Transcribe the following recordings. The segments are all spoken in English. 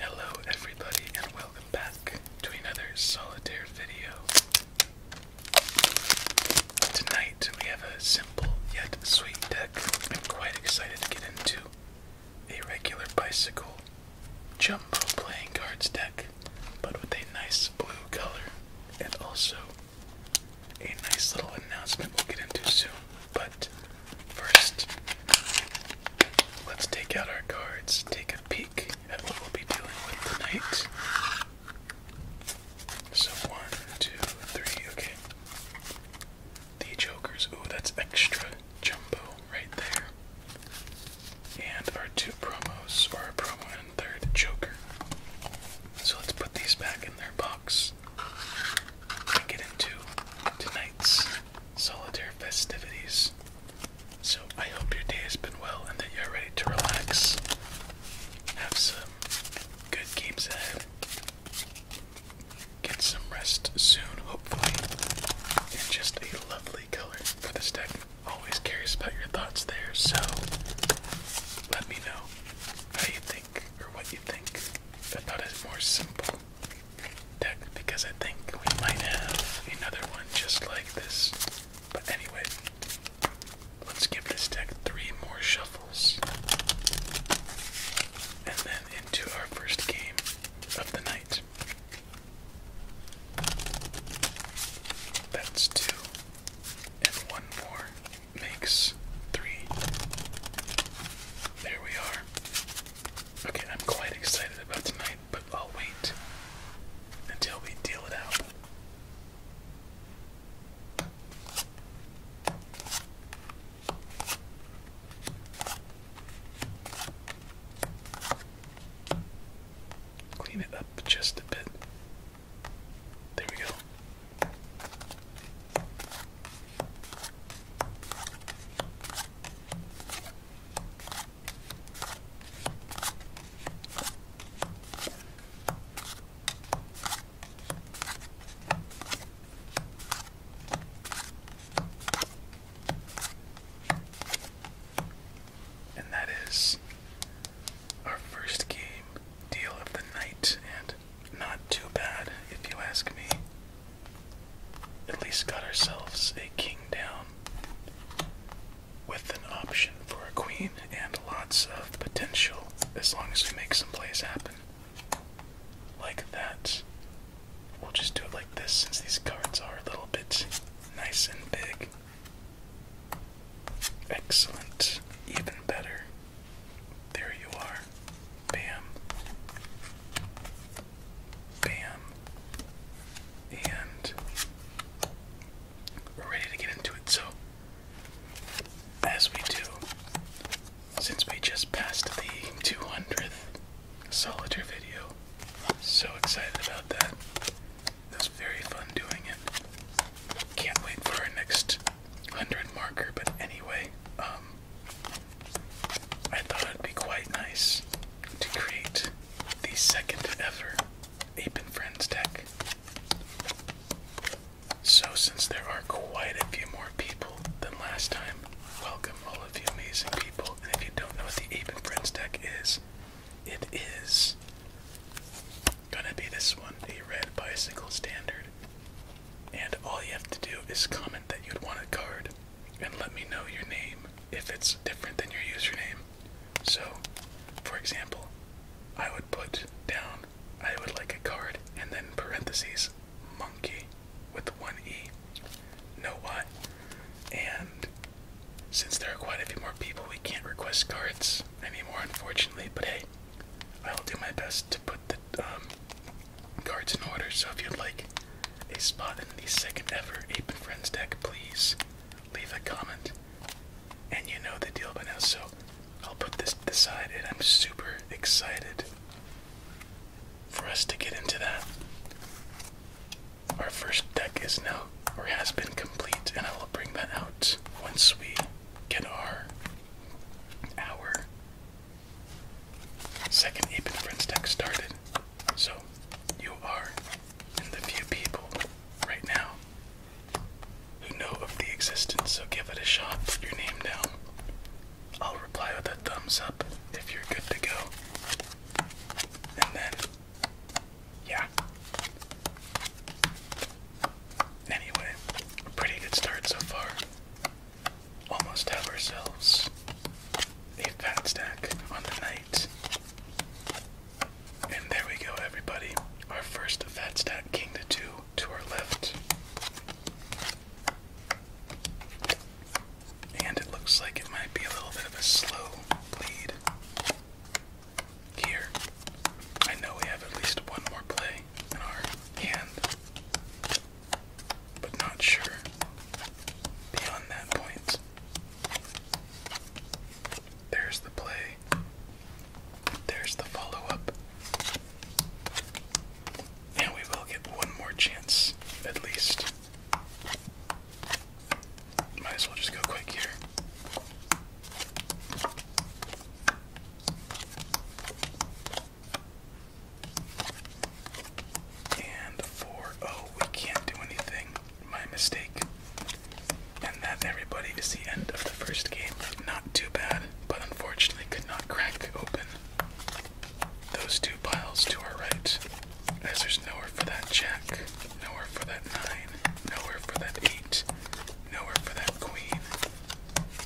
Hello, everybody, and welcome back to another solitaire video. Tonight we have a simple yet sweet deck. I'm quite excited to get into a regular bicycle jumbo playing cards deck, but with a nice blue color and also a nice little announcement we'll get into soon. But First, let's take out our cards, take a peek at what we'll be dealing with tonight. So, one, two, three, okay. The Jokers, Oh, that's extra jumbo right there. And our two promos, or a promo and third Joker. So let's put these back in their box get into tonight's solitaire festivities. So I hope your day has been well and that you're ready to relax. Have some good games ahead. Get some rest soon, hopefully. And just a lovely color for this deck. Always curious about your thoughts there, so let me know how you think or what you think about a more simple deck because I think we might have another one just like this. But anyway, let's give this deck three more shuffles. And then into our first game of the night. That's two. And one more makes three. There we are. Okay, I'm quite excited about tonight, but I'll wait until we deal it out. Clean it up just a bit. There we go. And that is our first game, Deal of the Night, and not too bad, if you ask me. At least got ourselves a king down with an option for a queen and lots of potential as long as we make some plays happen. Like that. We'll just do it like this since these cards are a little bit nice and big. Excellent. Even better. There you are. Bam. Bam. And we're ready to get into it. So, as we do, since we just passed the 200th solitaire video, so excited about that. It was very fun doing it. Can't wait for our next hundred marker, but anyway, um, I thought it'd be quite nice to create the second ever Ape and Friends deck. So, since there are quite a few more people than last time, welcome all of you amazing people. And if you don't know what the Ape and Friends deck is, it is gonna be this one a red bicycle standard. And all you have to do is comment that you'd want a card and let me know your name if it's different than your username. So, for example, I would put down I would like a card and then parentheses monkey with one E. No what? And since there are quite a few more people, we can't request cards anymore, unfortunately. But hey, I will do my best to put the um, cards in order. So if you'd like a spot in the second ever Ape and Friends deck, please leave a comment. And you know the deal by now, so I'll put this aside. and I'm super excited for us to get into that. Our first deck is now, or has been complete, and I will bring that out once we get our, our Second Ape and Friends deck started. So you are in the few people right now who know of the existence, so give it a shot, put your name down. I'll reply with a thumbs up if you're good to go. And then, yeah. Anyway, pretty good start so far almost have ourselves a fat stack on the night. And there we go, everybody. Our first fat stack king to two to our left. And it looks like it might be a little bit of a slow bleed. Here, I know we have at least one more play in our hand, but not sure beyond that point. There's the play, there's the follow up, and we will get one more chance at least. Might as well just go quick here. And four. Oh, we can't do anything. My mistake. And that, everybody, is the end of the first game. Not too bad, but unfortunately could not crack open those two piles to our right, as there's nowhere for that jack, nowhere for that nine, nowhere for that eight, nowhere for that queen,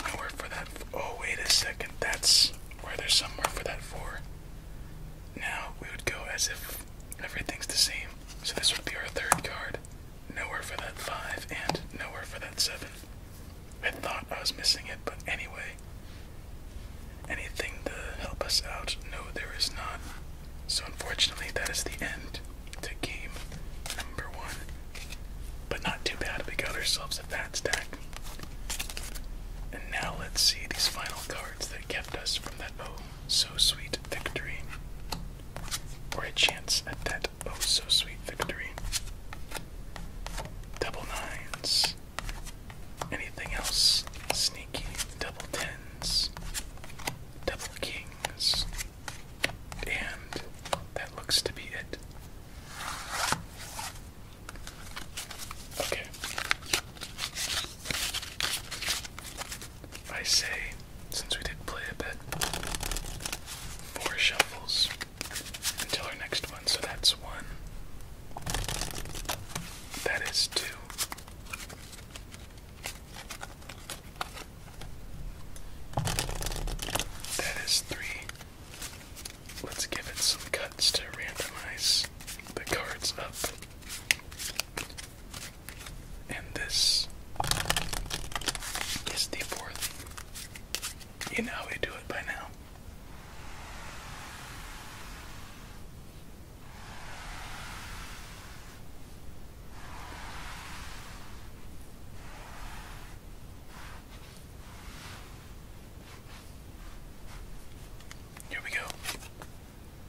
I for that. Oh, wait a second. That's where there's somewhere for that four. Now we would go as if everything's the same. So this would be our third card. Nowhere for that five, and nowhere for that seven. I thought I was missing it, but anyway. Anything to help us out? No, there is not. So unfortunately, that is the end to game but not too bad, we got ourselves a fat stack. And now let's see these final cards that kept us from that oh so sweet victory. Or a chance at that oh so sweet victory. Double nines. Anything else? Sneaky double tens. Double kings. And that looks to be it. Okay. I say, since we did play a bit, four shuffles until our next one. So that's one. That is two. That is three. Let's give it some cuts to randomize the cards up. And this is the fourth. You know how we do it by now. Here we go.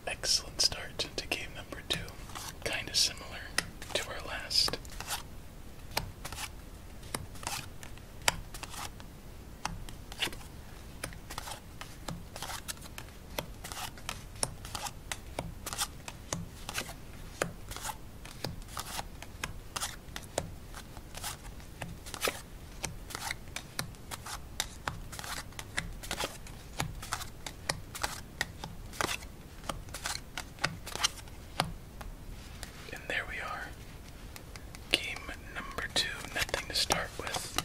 Excellent start to game number two. Kind of similar to our last. And there we are. Game number two, nothing to start with.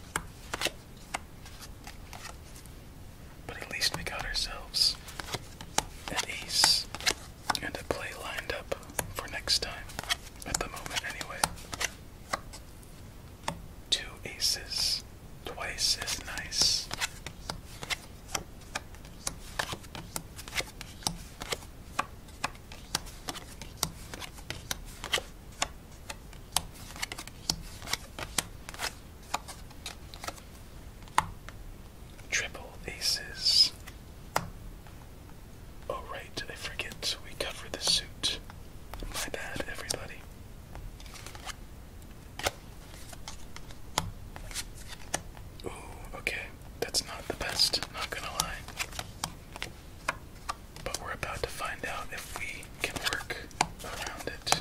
But at least we got ourselves an ace and a play lined up for next time. At the moment, anyway. Two aces, twice as nice. Triple aces. Oh, right, I forget we cover the suit. My bad, everybody. Ooh, okay. That's not the best, not gonna lie. But we're about to find out if we can work around it.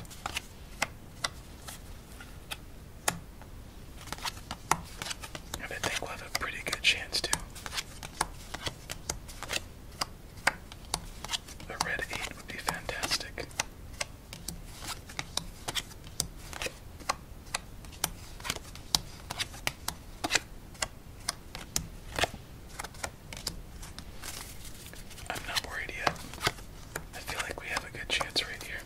I think we have a pretty good chance too. A red 8 would be fantastic. I'm not worried yet. I feel like we have a good chance right here.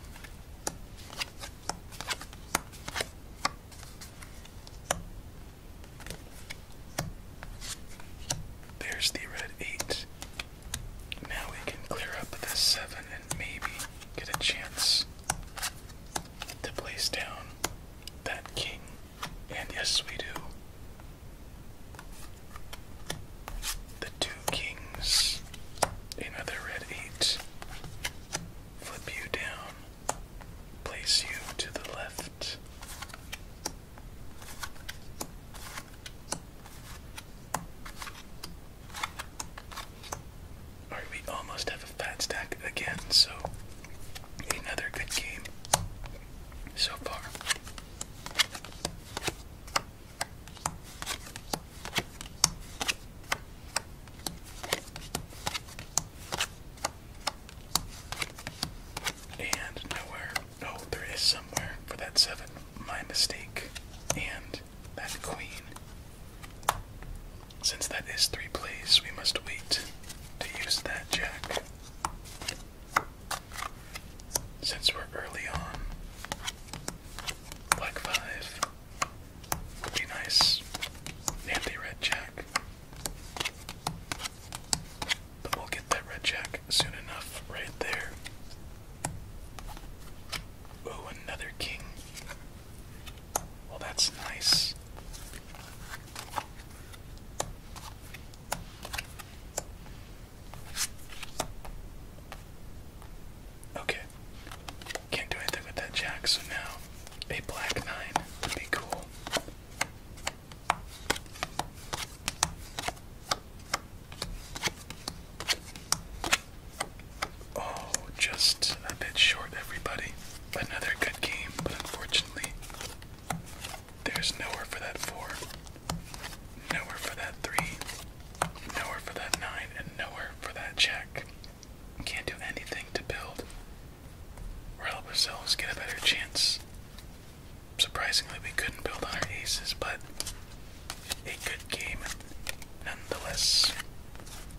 There's the red 8. Now we can clear up this 7 and maybe get a chance to place down that king. And yes, we do two kings, another red eight, flip you down, place you to the left. Alright, we almost have a fat stack again, so another good game so far. And nowhere. Oh, there is somewhere for that seven. My mistake. And that queen. Since that is three plays, we must wait to use that jack. Since we're early on, Black 5 would be nice. Nancy Red Jack. But we'll get that Red Jack soon enough, right there. Oh, another King. Well, that's nice. Okay. Can't do anything with that jack, so now a black nine would be cool. Oh, just a bit short, everybody. Another good game, but unfortunately, there's nowhere for that four, nowhere for that three, Nowhere for that nine and nowhere for that check. Can't do anything to build or help ourselves get a better chance. Surprisingly, we couldn't build on our aces, but a good game nonetheless.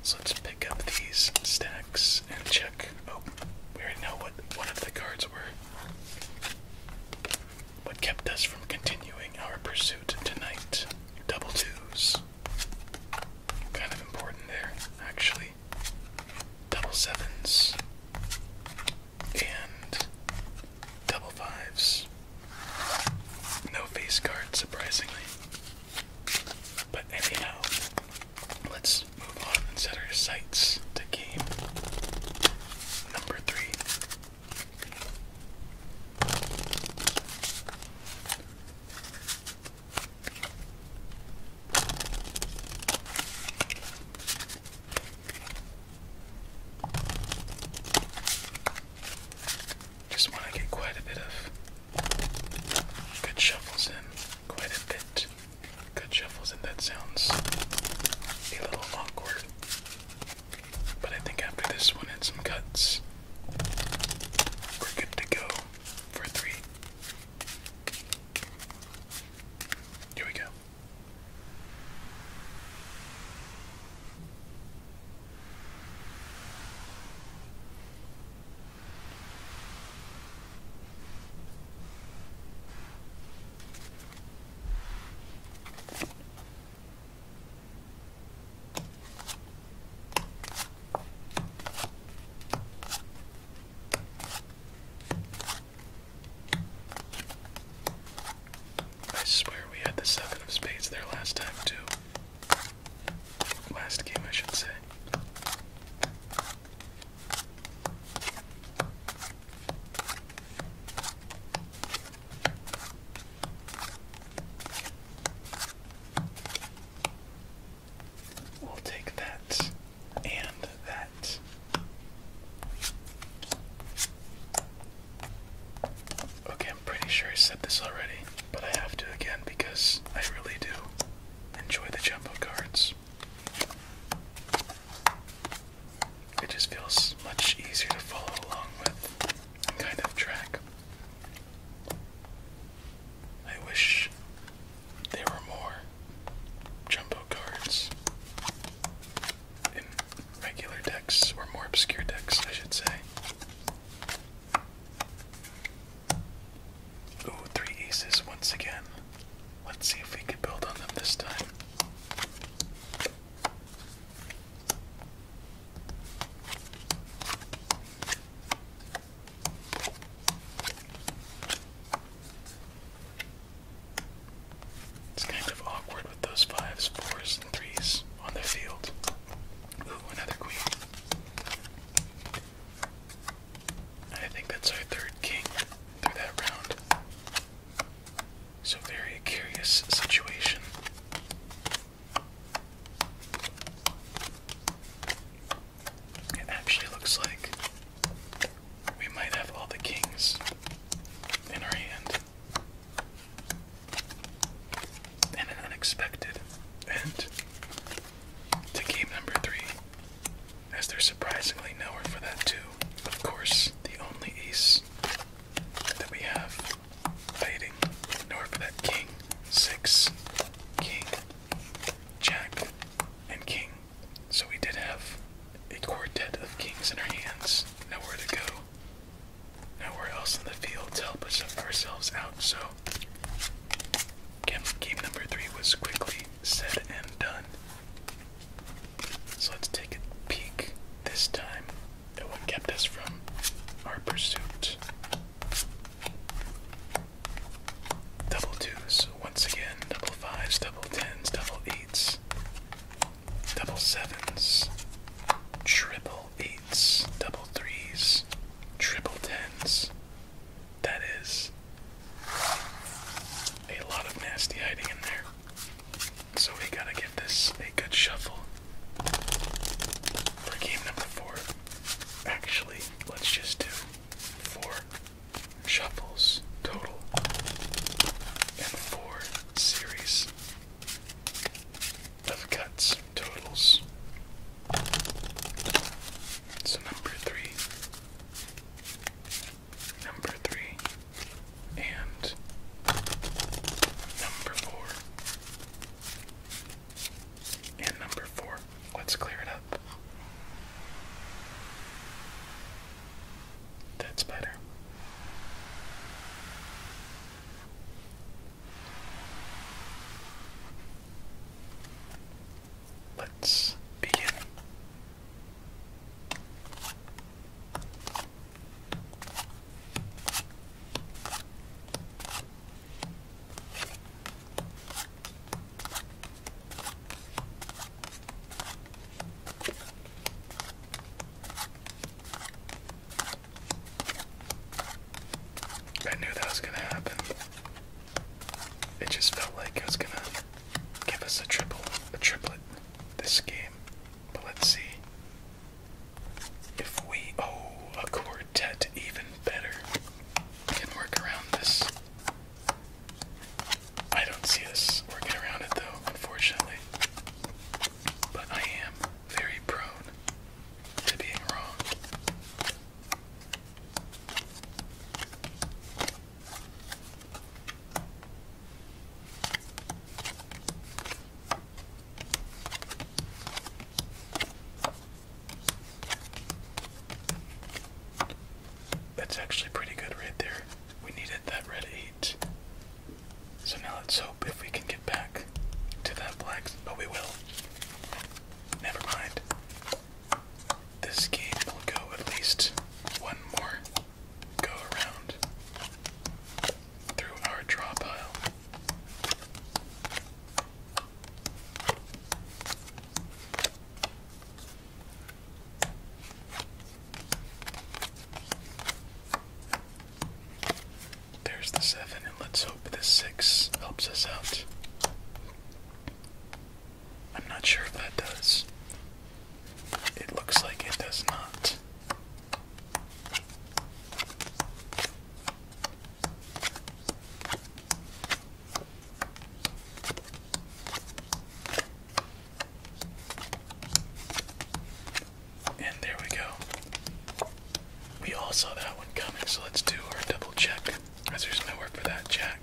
So let's pick up these stacks and check. Oh, we already know what one of the cards were what kept us from continuing our pursuit tonight. Double twos. Kind of important there, actually. Double sevens. And double fives. No face card, surprisingly. But anyhow, let's move on and set our sights to game number three. Just want to get quite a bit of good shuffles in, quite a bit good shuffles in. That sounds a little awkward. But I think after this one and some cuts, we're good to go for three. Here we go. I swear we had the seven of spades there last time, too. Last game, I should say. We'll take that and that. Okay, I'm pretty sure I said this already, but I have to again because I really do enjoy the jumbo cards it just feels much easier to follow along with and kind of track. I wish there were more jumbo cards in regular decks, or more obscure decks, I should say. Oh, three aces once again. Let's see if we can build on them this time. It's kind of awkward with those fives, fours, and threes on the field. Ooh, another queen. I think that's our third king through that round. So, very curious situation. It actually looks like we might have all the kings in our hand. And an unexpected end to game number three, as there's surprisingly nowhere for that, too. Of course, the only ace then we have fading north for that king, six, king, jack, and king. So we did have a quartet of kings in our hands. Nowhere to go. Nowhere else in the field to help us ourselves out. So game number three was quickly said and done. So let's take a peek this time at what kept us from our pursuit. Double twos, once again, double fives, double tens, double eights, double sevens, triple eights, double threes, triple tens. That is a lot of nasty hiding in there. So we gotta give this a good shuffle for game number four. Actually, let's just do four shuffles total and four series of cuts totals. So number three, number three, and number four. And number four. Let's clear it up. That's better. Let's begin. I knew that was going to happen. It just felt like it was going to give us a triple, a triplet this game. But let's see. If we. Oh, a quartet, even better. can work around this. I don't see us working around it though, unfortunately. But I am very prone to being wrong. That's actually pretty good right there. We needed that red 8. So now let's hope if we can get back to that black. But oh, we will. Never mind. This game will go at least one more go around through our draw pile. There's the seven, and let's hope the six helps us out. I'm not sure if that does. It looks like it does not. And there we go. We all saw that one coming, so let's do our double check. Because there's nowhere for that jack.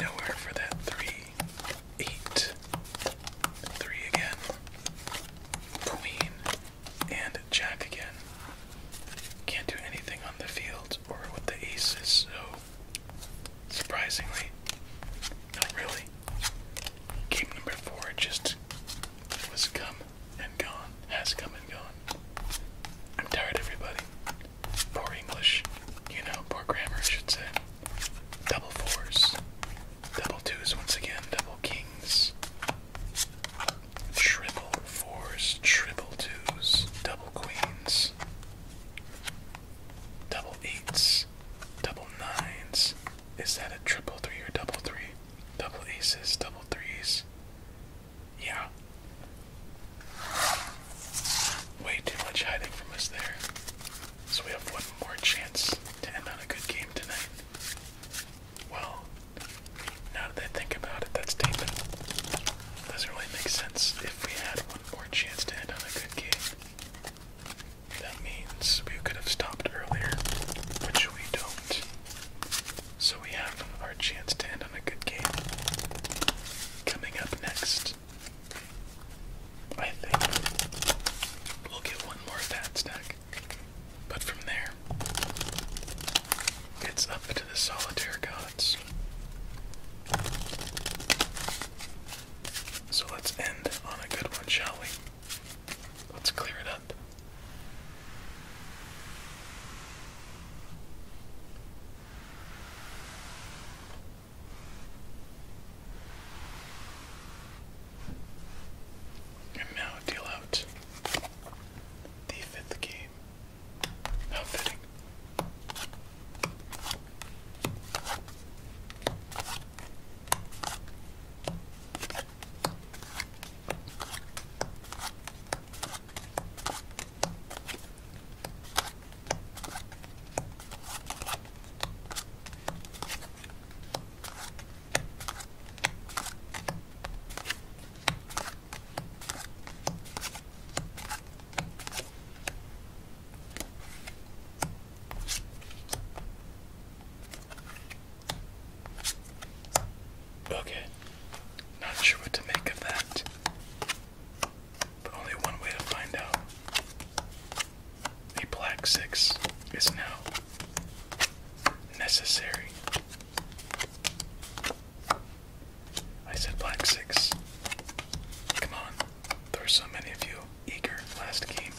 Nowhere for that three eight, three again, queen, and jack again. Can't do anything on the field or with the aces, so surprisingly, not really. Game number four just was come and gone, has come and gone. I'm tired, everybody. Poor English. You know, poor grammar, I should say. Double fours. Double twos once again. Double kings. Triple fours. Triple twos. Double queens. Double eights. Double nines. Is that a triple three or double three? Double aces. Double threes. Yeah. Way too much hiding from us there. So we have one more chance to end on a good game tonight. Well, now that I think about it, that's statement doesn't really make sense. If we had one more chance to end on a good game, that means we could have stopped earlier, which we don't. So we have our chance to end on a good game. Coming up next, I think we'll get one more fat stack. But from there, it's up to the solitaire gods. So let's end on a good one, shall we? Let's clear it up. And now deal out the fifth game. How fitting. Okay, not sure what to make of that but only one way to find out. A black six is now necessary. I said black six. Come on, there are so many of you eager last game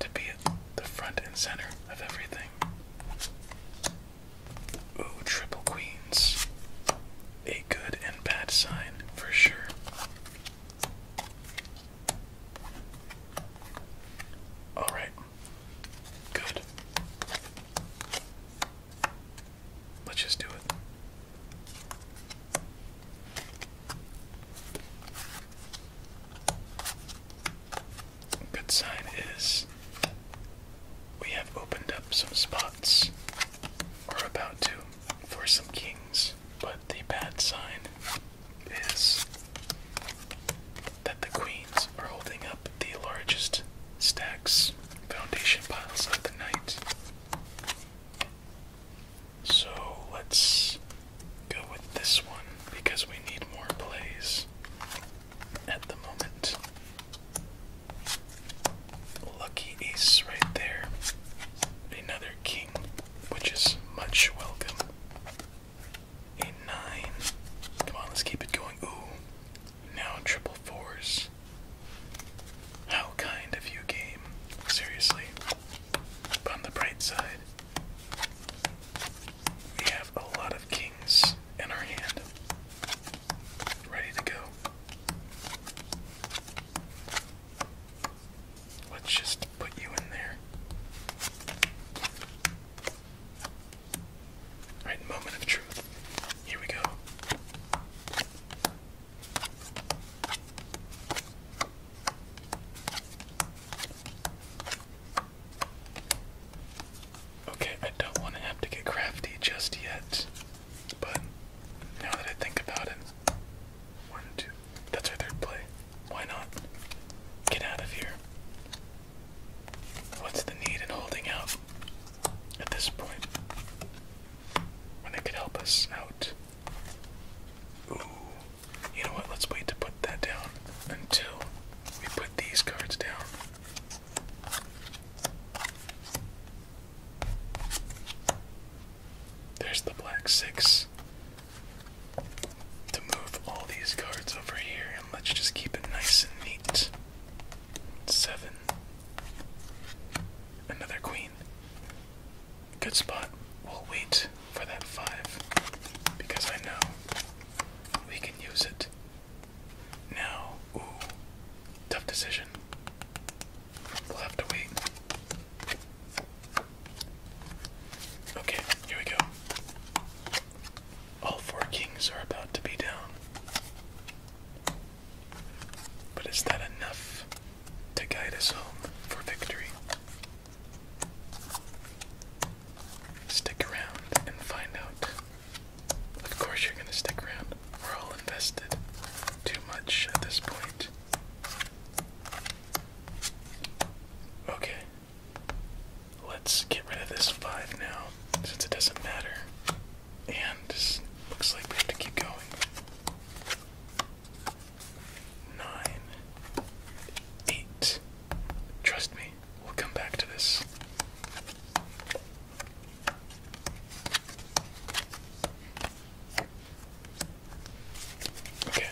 to be at the front and center of everything. Ooh, triple queens a good and bad sign for sure. All right. Good. Let's just do it. Good sign is we have opened up some spots. We're about to for some kings, but the bad sign is that the queens are holding up the largest stacks, foundation piles of the night. So let's go with this one because we need more plays at the moment. Lucky ace right there. Another king, which is much welcome. A nine. Come on, let's keep it going. Ooh, now triple fours. How kind of you, game. Seriously. But on the bright side, we have a lot of kings in our hand. Ready to go. Let's just put you in there. Alright, moment of truth. Here we go. Okay, I don't want to have to get crafty just yet. But now that I think about it, one, two, that's our third play. Why not? Get out of here. What's the need in holding out at this point when they could help us out? Ooh. You know what? Let's wait to put that down until we put these cards down. There's the black six. To move all these cards over here, and let's just keep it nice and neat. Seven. Another queen. Good spot. We'll wait for that five because I know we can use it. Now, ooh, tough decision. We'll have to wait. Okay, here we go. All four kings are about to be down. But is that enough to guide us home for victory? Stick around and find out. Of course, you're going to stick around. We're all invested too much at this point. Okay. Let's get rid of this 5 now, since it doesn't matter. And looks like we have to keep going. 9. 8. Trust me, we'll come back to this. Okay.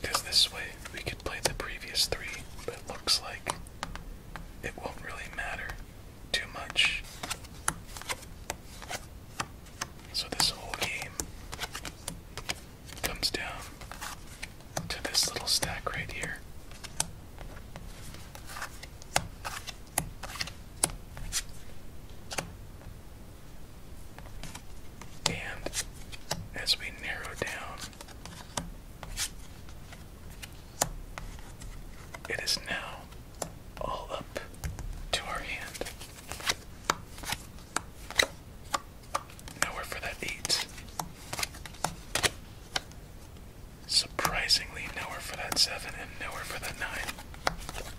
Because this way we could play the previous three, but looks like it won't really matter too much. So this whole game comes down to this little stack right here. And as we narrow down, it is now all up to our hand. Nowhere for that eight. Surprisingly, nowhere for that 7 and nowhere for that 9.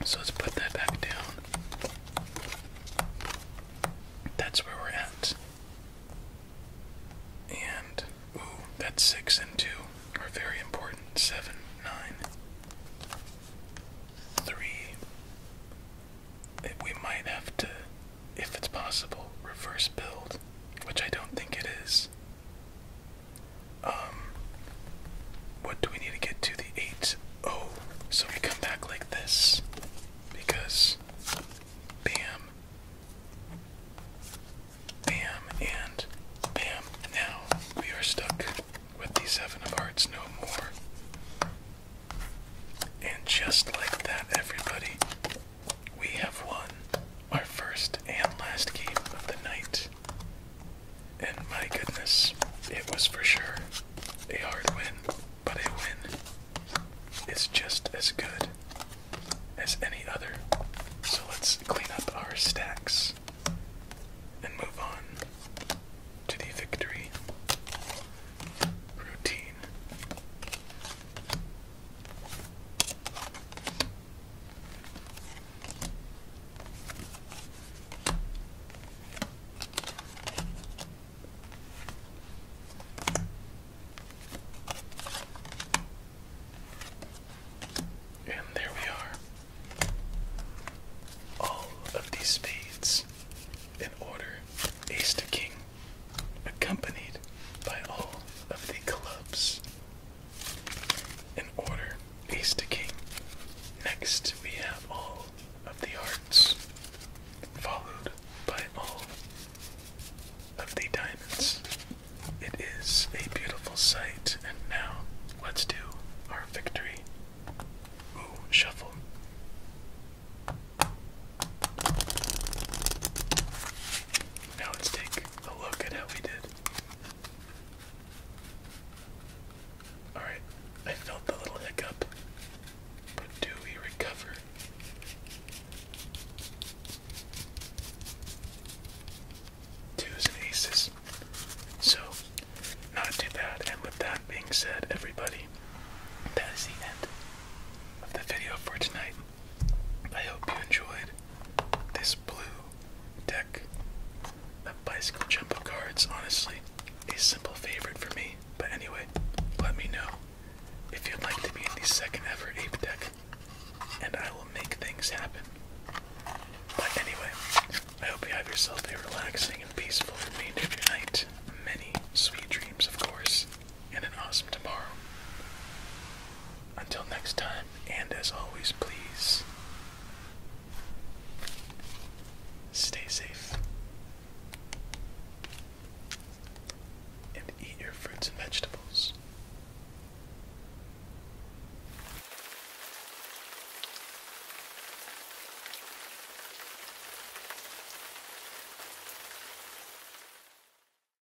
So let's put that back down. That's where we're at. And, ooh, that 6 and 2 are very important. 7, 9, We might have to, if it's possible, reverse build, which I don't think it is. Um, what do we need to get to the eight? Oh, so we come back like this because bam, bam, and bam. Now we are stuck with the seven of hearts no more. And just like that, everybody, we have won our first and last game of the night. And my goodness, it was for sure a hard win, but a win is just as good as any other. So let's clean up our stacks and move on to the victory routine. And there we are. All of these spades in order, ace to king, accompanied by all of the clubs in order, ace to king. Next, we have all of the hearts, followed by all of the diamonds. It is a beautiful sight, and now let's do our victory. Ooh, shuffle. Now let's take look at how we did. Alright, I felt the little hiccup, but do we recover? Twos and aces. So, not too bad. And with that being said, everybody, that is the end of the video for tonight. I hope you enjoyed this blue deck of bicycle jumbo cards. Honestly, a simple favorite for me. But anyway, let me know if you'd like to be in the second ever ape deck, and I will make things happen. But anyway, I hope you have yourself a relaxing and peaceful remainder of your night. Many sweet dreams, of course and an awesome tomorrow. Until next time, and as always, please stay safe and eat your fruits and vegetables.